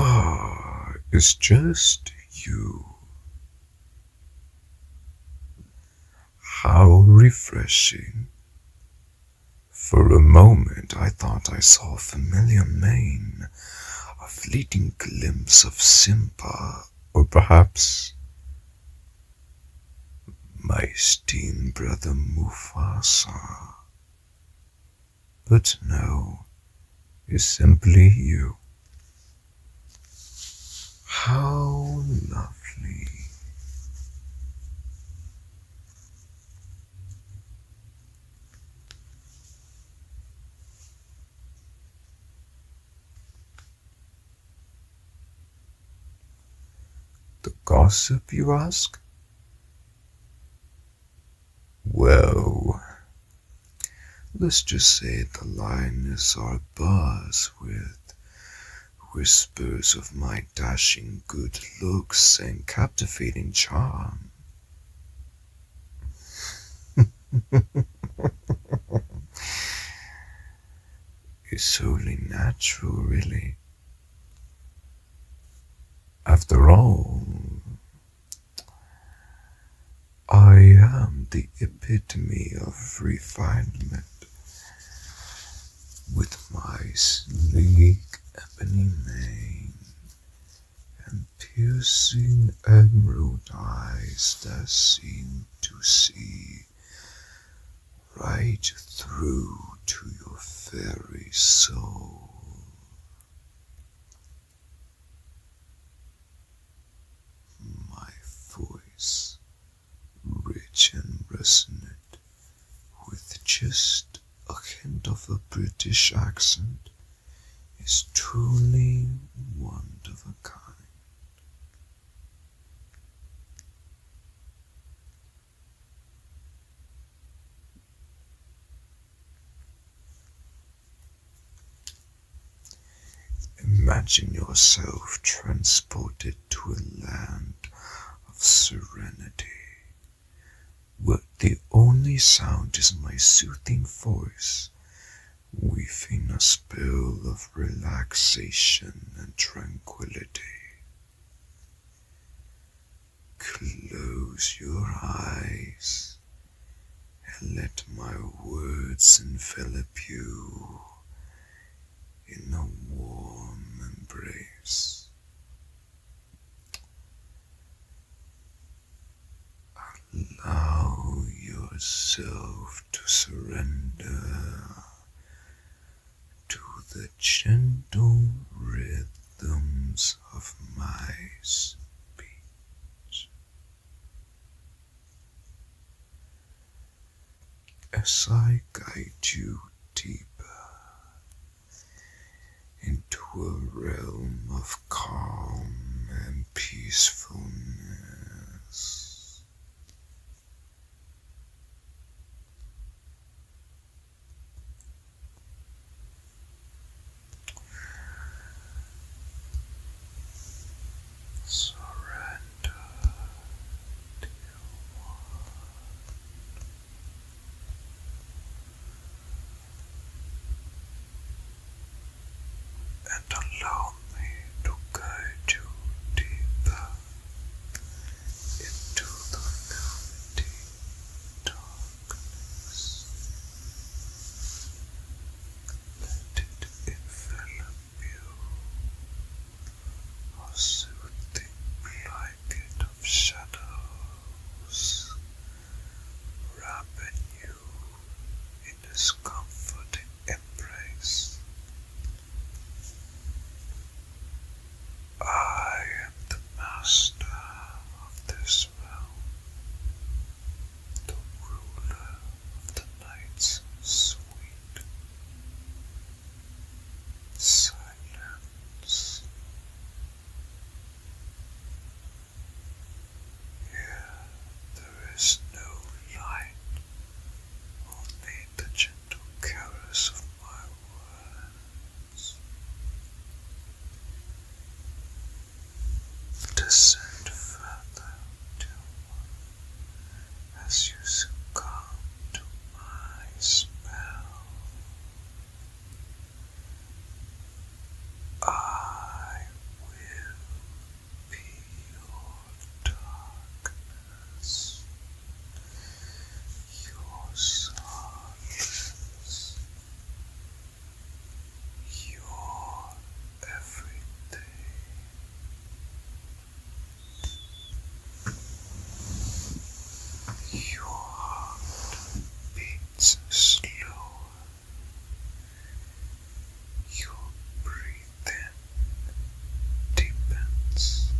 Ah, it's just you. How refreshing. For a moment I thought I saw a familiar mane a fleeting glimpse of Simba, or perhaps my steam brother Mufasa. But no, is simply you. How lovely. The gossip, you ask? Well, let's just say the lioness are buzzed with whispers of my dashing good looks and captivating charm. it's only natural, really. After all, I am the epitome of refinement with my sleek ebony mane and piercing emerald eyes that seem to see right through to your very soul. My voice, rich and resonant with just a hint of a British accent is truly one of a kind. Imagine yourself transported to a land of serenity but the only sound is my soothing voice, weaving a spell of relaxation and tranquility. Close your eyes and let my words envelop you in a warm embrace. Allow yourself to surrender to the gentle rhythms of my speech. As I guide you deeper into a realm of calm and peacefulness. Surrender to one and allow me to guide you deeper into the velvety darkness. Let it envelop you, a soothing blanket blanket of shadows, wrapping you in this comforting embrace. I am the master of this realm, the ruler of the night's sweet silence. Here there is no light, only the gentle caress of my words. Descend further till one as you succumb to my spell. I will be your darkness, your silence, your everything. Your heart beats slow. Your breathing deepens.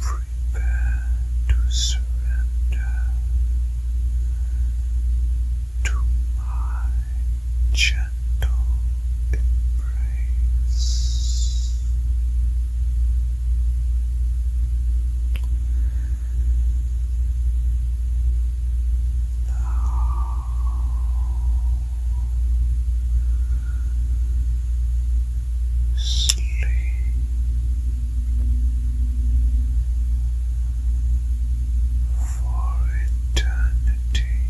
Prepare to surrender to my gentle embrace. Now sleep for eternity.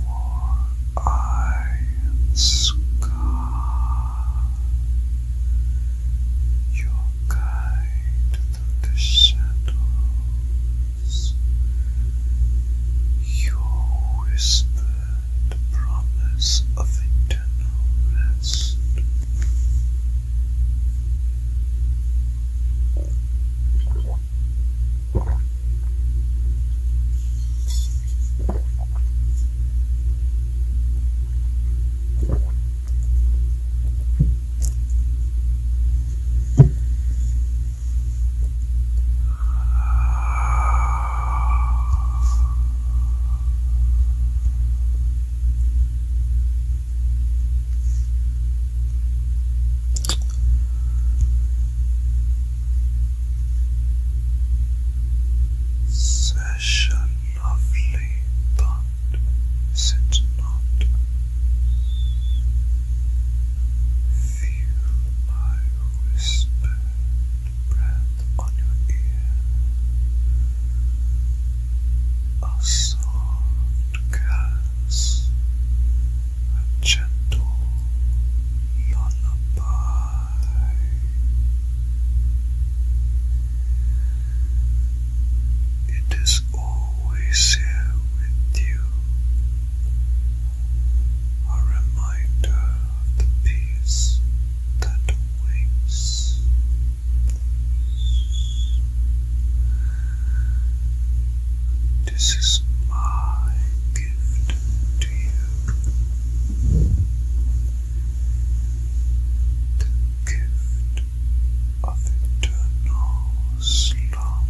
For I am Scar, your guide through the shadows, your whisper the promise of eternal rest. Session lovely, but sit not. Feel my whispered breath on your ear, a soft caress, a gentle lullaby. It is always here with you, a reminder of the peace that awaits. This is my gift to you. The gift of eternal slumber.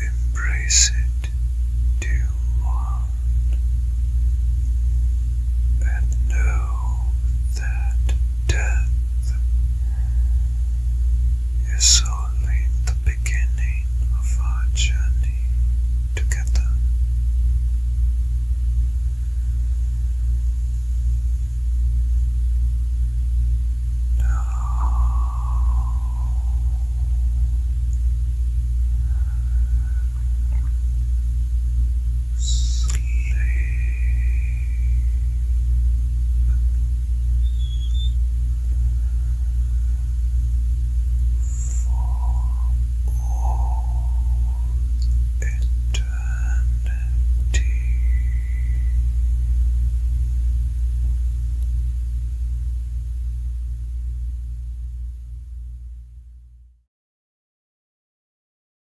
Embrace it to one and know that death. Is only the beginning of our journey together. Now, Sleep. For all eternity.